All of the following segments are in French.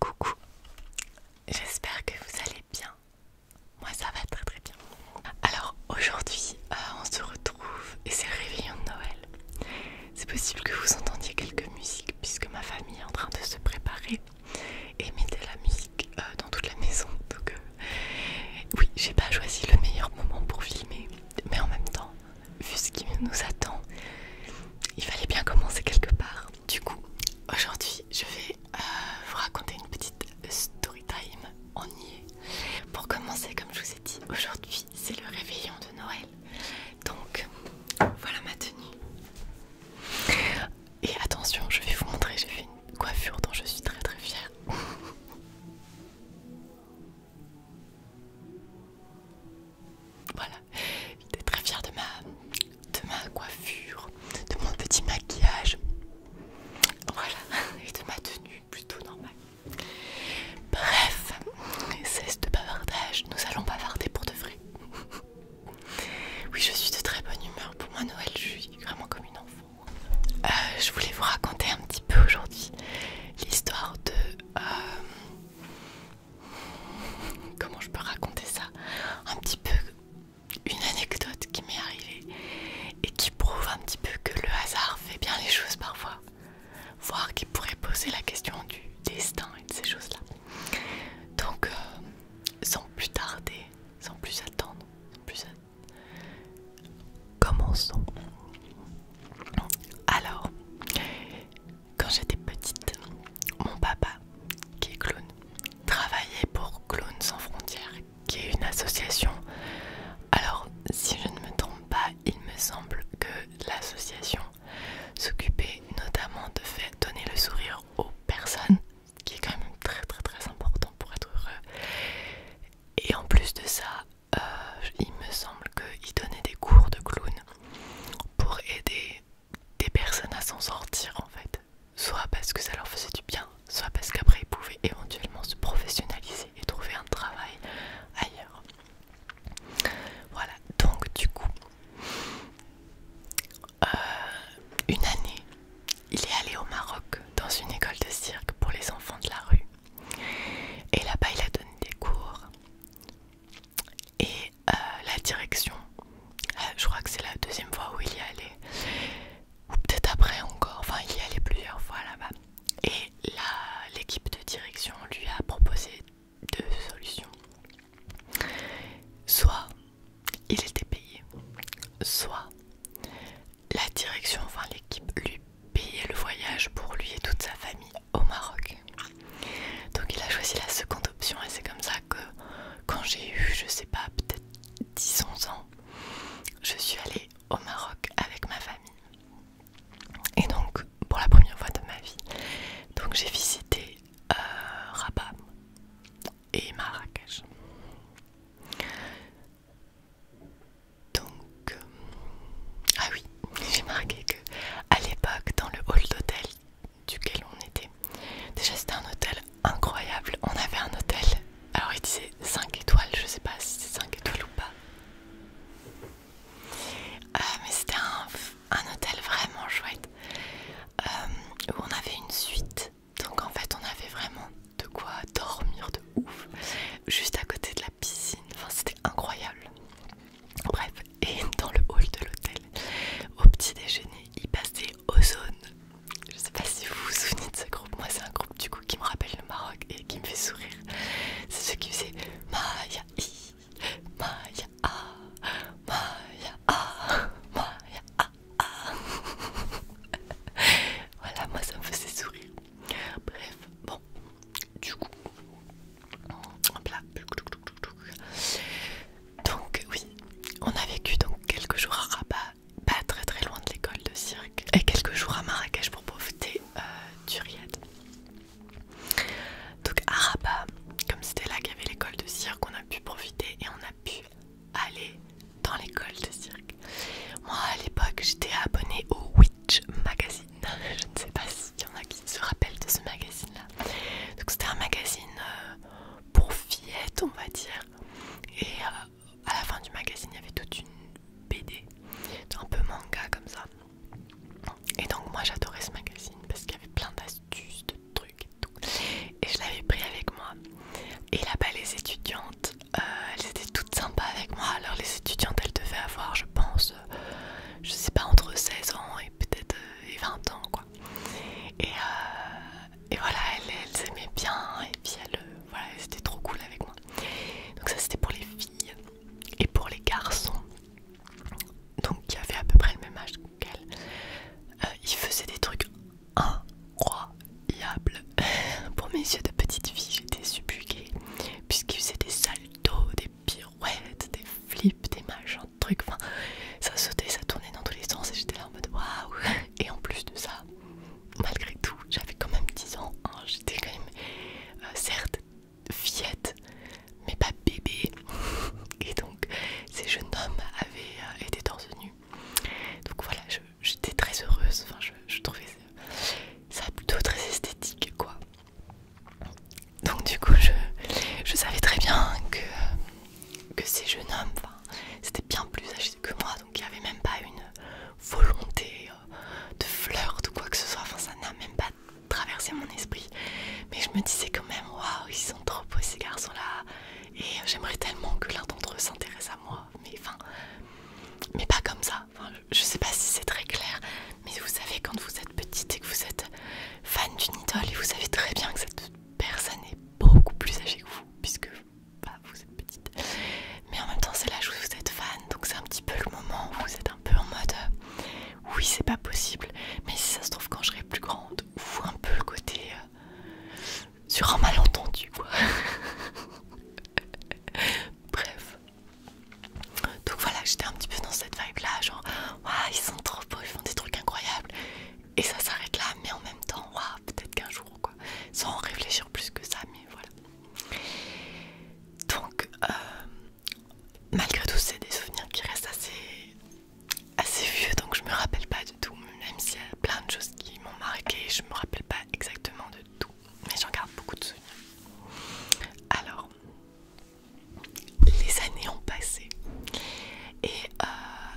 Coucou, j'espère que vous allez bien. Moi ça va très très bien. Alors aujourd'hui euh, on se retrouve et c'est le réveillon de Noël. C'est possible que vous entendiez quelques musiques puisque ma famille est en train de se préparer et mettez la musique euh, dans toute la maison. Donc, euh, oui, j'ai pas choisi le meilleur moment pour filmer, mais en même temps, vu ce qui nous attend, il fallait bien commencer quelque part. Du coup, aujourd'hui, je vais euh, vous raconter une petite story time. en y Pour commencer, comme je vous ai dit, aujourd'hui, c'est le réveillon de Noël. Donc, voilà ma tenue. Et attention, je vais vous montrer, j'ai fait une coiffure dont je suis très très fière. voilà, j'étais très fière de ma, de ma coiffure, de mon petit maquillage. Voilà, et de ma tenue plutôt normale. Bref, cesse de bavardage, nous allons bavarder pour de vrai. Oui, je suis de très bonne humeur. Pour moi, Noël, je suis vraiment comme une enfant. Euh, je voulais vous raconter un petit peu aujourd'hui l'histoire de... Euh, comment je peux raconter ça Un petit peu une anecdote qui m'est arrivée et qui prouve un petit peu que le hasard fait bien les choses parfois. Voire qui pourrait poser la question du destin et de ces choses-là. Donc... Euh, sans plus tarder, sans plus attendre, sans plus attendre, commençons. Alors, quand j'étais petite, mon papa, qui est clown, travaillait pour Clones sans frontières, qui est une association. Alors, si je ne me trompe pas, il me semble que l'association S'occuper notamment de faire donner le sourire aux personnes, qui est quand même très très très important pour être heureux. Et en plus de ça, euh, il me semble qu'il donnait des cours de clown pour aider des personnes à s'en sortir en fait. Soit parce que ça leur faisait du bien, soit parce qu'après ils pouvaient éventuellement se professionnaliser et trouver un travail ailleurs. Voilà, donc du coup, euh, une année, il est allé au Maroc dans une école de cirque pour les enfants de la rue. Et là-bas, il a donné des cours. Et euh, la direction, euh, je crois que c'est la deuxième fois où il y est allé, ou peut-être après encore, enfin il y est allé plusieurs fois là-bas. Et l'équipe de direction lui a proposé deux solutions. Soit il était payé, soit la direction, enfin l'équipe lui payait le voyage pour lui et toute sa famille au Maroc. Donc il a choisi la seconde option et c'est comme ça que quand j'ai eu, je sais pas, peut-être 10-11 ans, je suis allée au Maroc avec ma famille. Et donc pour la première fois de ma vie, donc j'ai visité euh, Rabat et Marrakech. Donc, euh, ah oui, j'ai marqué que à l'époque, dans le hall d'hôtel duquel on était, déjà c'était un hôtel incroyable. On avait un hôtel, alors il disait 5 étoiles, je sais pas si c'est 5 étoiles ou pas, euh, mais c'était un un hôtel vraiment chouette euh, où on avait une suite. Donc en fait, on avait vraiment de quoi dormir de ouf, juste à côté de la piscine. Enfin, c'était incroyable. Bref, et dans le hall de l'hôtel, au petit déjeuner, il passait Ozone. Je sais pas si vous vous souvenez de ce groupe. Moi, c'est un groupe du coup qui me rappelle le Maroc et qui me fait sourire. C'est ceux qui faisaient ah, ah, ah, voilà, moi ça me faisait sourire. Bref, bon, du coup, hop là. Donc, oui, on a vécu donc quelques jours à Rabat, pas très très loin de l'école de cirque, et quelques jours à Marrakech pour profiter euh, du riad. Donc à comme c'était là qu'il y avait l'école de cirque, on a pu profiter et on a pu aller dans l'école de cirque. Moi à l'époque j'étais abonnée au Witch Magazine. Je ne sais pas s'il y en a qui se rappellent de ce magazine là. Donc c'était un magazine euh, pour fillettes on va dire. Et euh, à la fin du magazine il y avait toute une BD, un peu manga comme ça. Et donc moi j'adorais ce magazine parce qu'il y avait plein d'astuces, de trucs et tout. Et je l'avais pris avec moi. Et là-bas les étudiantes, euh, elles étaient toutes sympas avec moi. Alors les étudiantes elles devaient avoir je pense, euh, je sais pas, entre 16 ans et peut-être 20 euh, ans quoi. Et, voilà, elles, aimaient bien et puis elles, voilà, c'était trop cool avec moi. Donc ça c'était pour les filles et pour les garçons, donc qui avaient à peu près le même âge qu'elle, euh, ils faisaient des trucs incroyables. pour mes yeux de petite fille, j'étais subjuguée, puisqu'ils faisaient des saltos, des pirouettes, des flips, des machins, des trucs. Enfin, ça sautait, ça tournait dans tous les sens et j'étais là en mode waouh! Et en plus de ça, malgré tout, j'avais quand même 10 ans, hein. j'étais quand même, euh, certes, fillette, mais pas bébé. Et donc, ces jeunes hommes avaient euh, été torse nu. Donc voilà, j'étais très heureuse. Enfin, je, trouvais ça, plutôt très esthétique, quoi. Donc du coup, je, savais très bien que, que ces jeunes hommes, c'était bien plus âgé que moi, donc il n'y avait même pas une volonté euh, de flirt ou quoi que ce soit, enfin ça n'a même pas traversé mon esprit. Mais je me disais quand même, waouh, ils sont trop beaux ces garçons-là. Et euh, j'aimerais tellement que l'un d'entre eux s'intéresse à moi. Mais enfin, mais pas comme ça. je sais pas si c'est très clair, mais vous savez, quand vous êtes petite et que vous êtes fan d'une idole, et vous savez très bien que cette personne est beaucoup plus âgée que vous, puisque bah, vous petite. Mais en même temps, c'est là où vous êtes fan, donc c'est un petit peu le moment où vous êtes un peu en mode euh, oui, c'est pas possible, mais si ça se trouve, quand je serai plus grande, ou un peu le côté euh, sur un malentendu, quoi. Bref, donc voilà, j'étais un petit peu dans cette vibe là, genre waouh, ils sont trop beaux, ils font des trucs incroyables, et ça s'arrête là, mais en même temps, waouh, peut-être qu'un jour, quoi, sans réfléchir plus que ça, mais voilà. Donc, euh, malgré tout, c'est des souvenirs qui restent assez, vieux, donc je me rappelle pas du tout, même s'il y a plein de choses qui m'ont marqué, je me rappelle pas exactement de tout, mais j'en garde beaucoup de souvenirs. Alors, les années ont passé, et euh,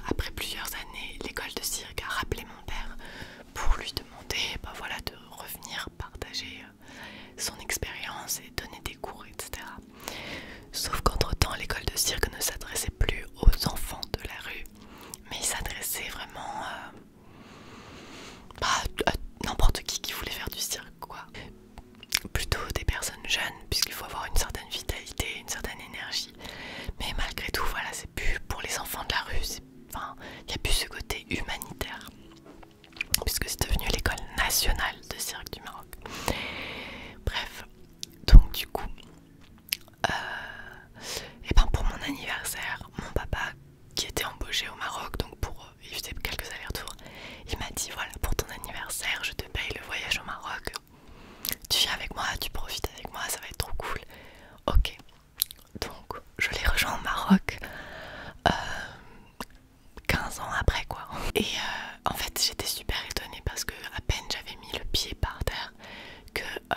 après plusieurs années, l'école de cirque a rappelé mon père pour lui demander bah voilà, de revenir partager euh, son expérience et donner des cours, etc. Sauf qu'entre-temps, l'école de cirque ne s'adressait plus aux enfants de la rue, mais s'adressait vraiment euh, bah, à n'importe qui qui voulait faire du cirque, quoi. Plutôt des personnes jeunes, puisqu'il faut avoir une certaine vitalité, une certaine énergie. Mais malgré tout, voilà, c'est plus pour les enfants de la rue, enfin, il n'y a plus ce côté humanitaire puisque c'est devenu l'école nationale de cirque du Maroc. Bref, donc du coup, euh, et ben pour mon anniversaire, mon papa qui était embauché au Maroc, donc pour euh, faisait quelques allers-retours, il m'a dit voilà pour ton anniversaire, je te paye le voyage au Maroc. Tu viens avec moi, tu profites avec moi, ça va être trop cool. Ok, donc je l'ai rejoint au Maroc 15 euh, ans après quoi. Et euh, en fait j'étais super étonnée parce que à peine j'avais mis le pied par terre que euh,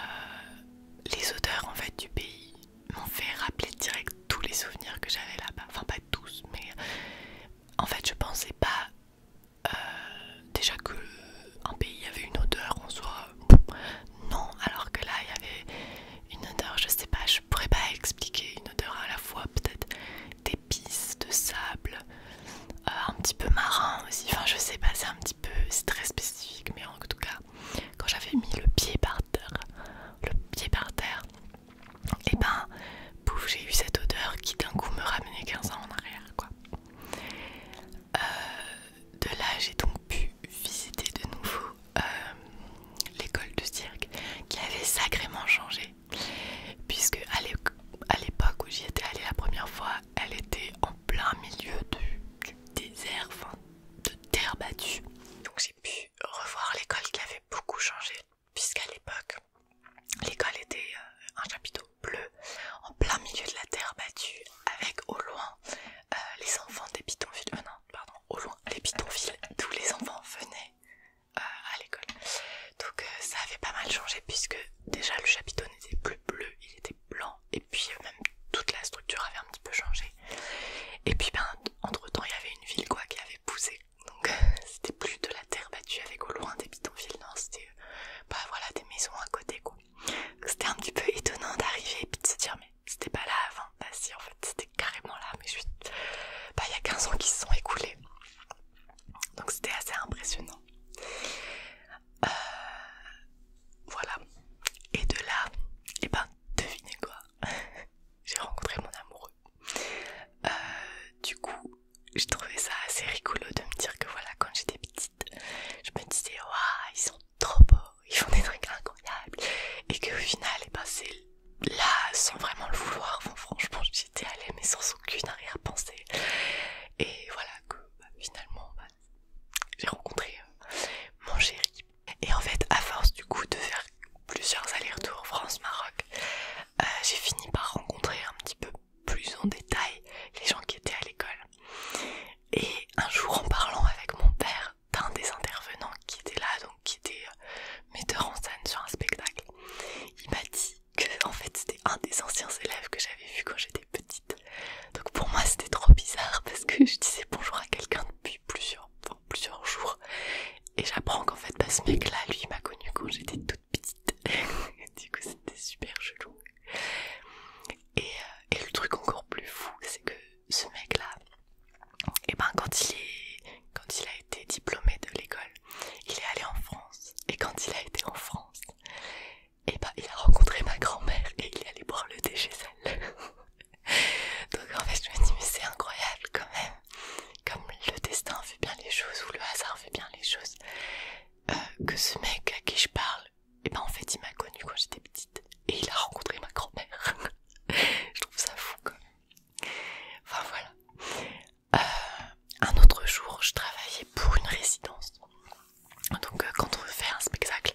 les odeurs en fait du pays m'ont fait rappeler direct tous les souvenirs que j'avais là-bas. Enfin pas tous mais en fait je pensais pas déjà que un pays avait une odeur en soi non, alors que là il y avait une odeur, je sais pas, je pourrais pas expliquer, une odeur à la fois peut-être d'épices, de sable, euh, un petit peu marin aussi, enfin je sais pas, c'est un petit peu, c'est très spécifique, mais en tout cas, quand j'avais mis le pied par terre, le pied par terre, et eh ben pouf, j'ai eu cette odeur qui d'un coup me ramenait 15 ans en arrière quoi. Euh, de là, j'ai donc pu visiter de nouveau euh, l'école de cirque qui avait sacrément changé. Puisque à l'époque où j'y étais allée la première fois, elle était en plein milieu du, désert, de terre battue. Donc j'ai pu revoir l'école qui avait beaucoup changé, puisqu'à l'époque, l'école était euh, un chapiteau bleu en plein milieu de la terre battue avec au loin euh, les enfants des pitonvilles, villes euh, non, pardon, au loin les pitonvilles tous les enfants venaient euh, à l'école. Donc ça avait pas mal changé puisque déjà le chapiteau n'était plus bleu, il était blanc et puis même toute la structure avait un petit peu changé. Et puis ben, entre temps il y avait une ville quoi qui avait poussé. Donc c'était plus de la terre battue avec au loin des villes non, c'était bah voilà des maisons à côté quoi. C'était un petit peu étonnant d'arriver et puis de se dire mais c'était pas là avant. Bah si en fait c'était carrément là mais je Bah il y a 15 ans qui se sont écoulés. Donc c'était assez impressionnant. Euh, voilà. Et de là, et eh ben devinez quoi J'ai rencontré mon amoureux. Euh, du coup, je trouvais ça assez rigolo de me dire que voilà, quand j'étais petite, je me disais, waouh, ils sont trop beaux, ils font des trucs incroyables, et au final, eh ben, c'est là, sans vraiment le vouloir, franchement, j'étais allée, mais sans aucune arrière-pensée. Et voilà, que bah, finalement, bah, j'ai rencontré euh, mon chéri. Et en fait, à force du coup de faire plusieurs allers-retours France-Maroc, euh, j'ai fini par rencontrer un petit peu plus en détail les gens qui étaient à l'école. Et un jour, en parlant avec mon père d'un des intervenants qui était là, donc qui était euh, metteur en scène sur un spectacle, il m'a dit que en fait c'était un des anciens élèves que j'avais vu quand j'étais petite. Donc pour moi c'était trop bizarre parce que je disais bonjour à quelqu'un depuis plusieurs, plusieurs jours et j'apprends qu'en fait pas bah, ce mec là lui m'a connu quand j'étais toute piste, petite. du coup, c'était super chelou. Euh, et, le truc encore plus fou, c'est que ce mec-là, et eh ben quand il, est, quand il a été diplômé de l'école, il est allé en France. Et quand il a été en France, et eh ben il a rencontré ma grand-mère et il est allé boire le thé chez elle. Donc en fait, je me dis, mais c'est incroyable quand même. Comme le destin fait bien les choses ou le hasard fait bien les choses. Euh, que ce mec à qui je parle, et eh ben en fait il m'a connu quand j'étais petite et il a rencontré ma grand-mère. je trouve ça fou quand Enfin voilà. Euh, un autre jour, je travaillais pour une résidence. Donc euh, quand on faire un spectacle,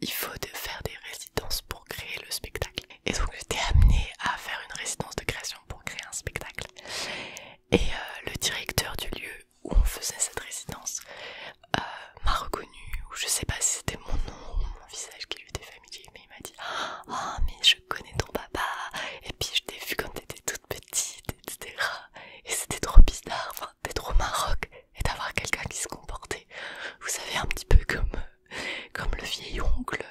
il faut de faire des résidences pour créer le spectacle. Et donc j'étais amenée à faire une résidence de création pour créer un spectacle. Et euh, le directeur du lieu où on faisait cette résidence euh, m'a reconnu, ou je sais pas si c'était mon nom ou mon visage qui lui était familier, mais il m'a dit Ah, mais je connais ton papa, et puis je t'ai vu quand t'étais toute petite, etc. Et c'était trop bizarre, enfin, t'es trop maroc, et d'avoir quelqu'un qui se comportait, vous savez, un petit peu comme, euh, comme le vieil oncle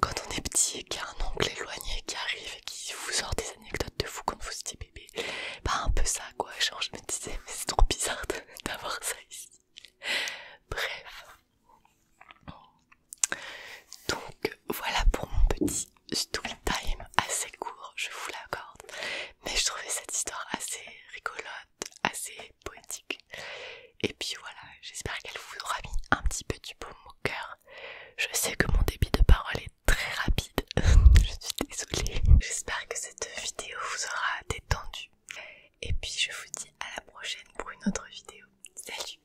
quand on est petit et qu'il y a un oncle éloigné qui arrive et qui vous sort des anecdotes de vous quand vous étiez bébé, bah un peu ça quoi, genre je me disais mais c'est trop bizarre d'avoir ça ici. Bref. Donc voilà pour mon petit story time assez court, je vous l'accorde, mais je trouvais cette histoire assez rigolote, assez poétique. Et puis voilà, j'espère qu'elle vous aura mis un petit peu du beau au cœur je sais que mon débit de parole est très rapide. je suis désolée. J'espère que cette vidéo vous aura détendu. Et puis je vous dis à la prochaine pour une autre vidéo. Salut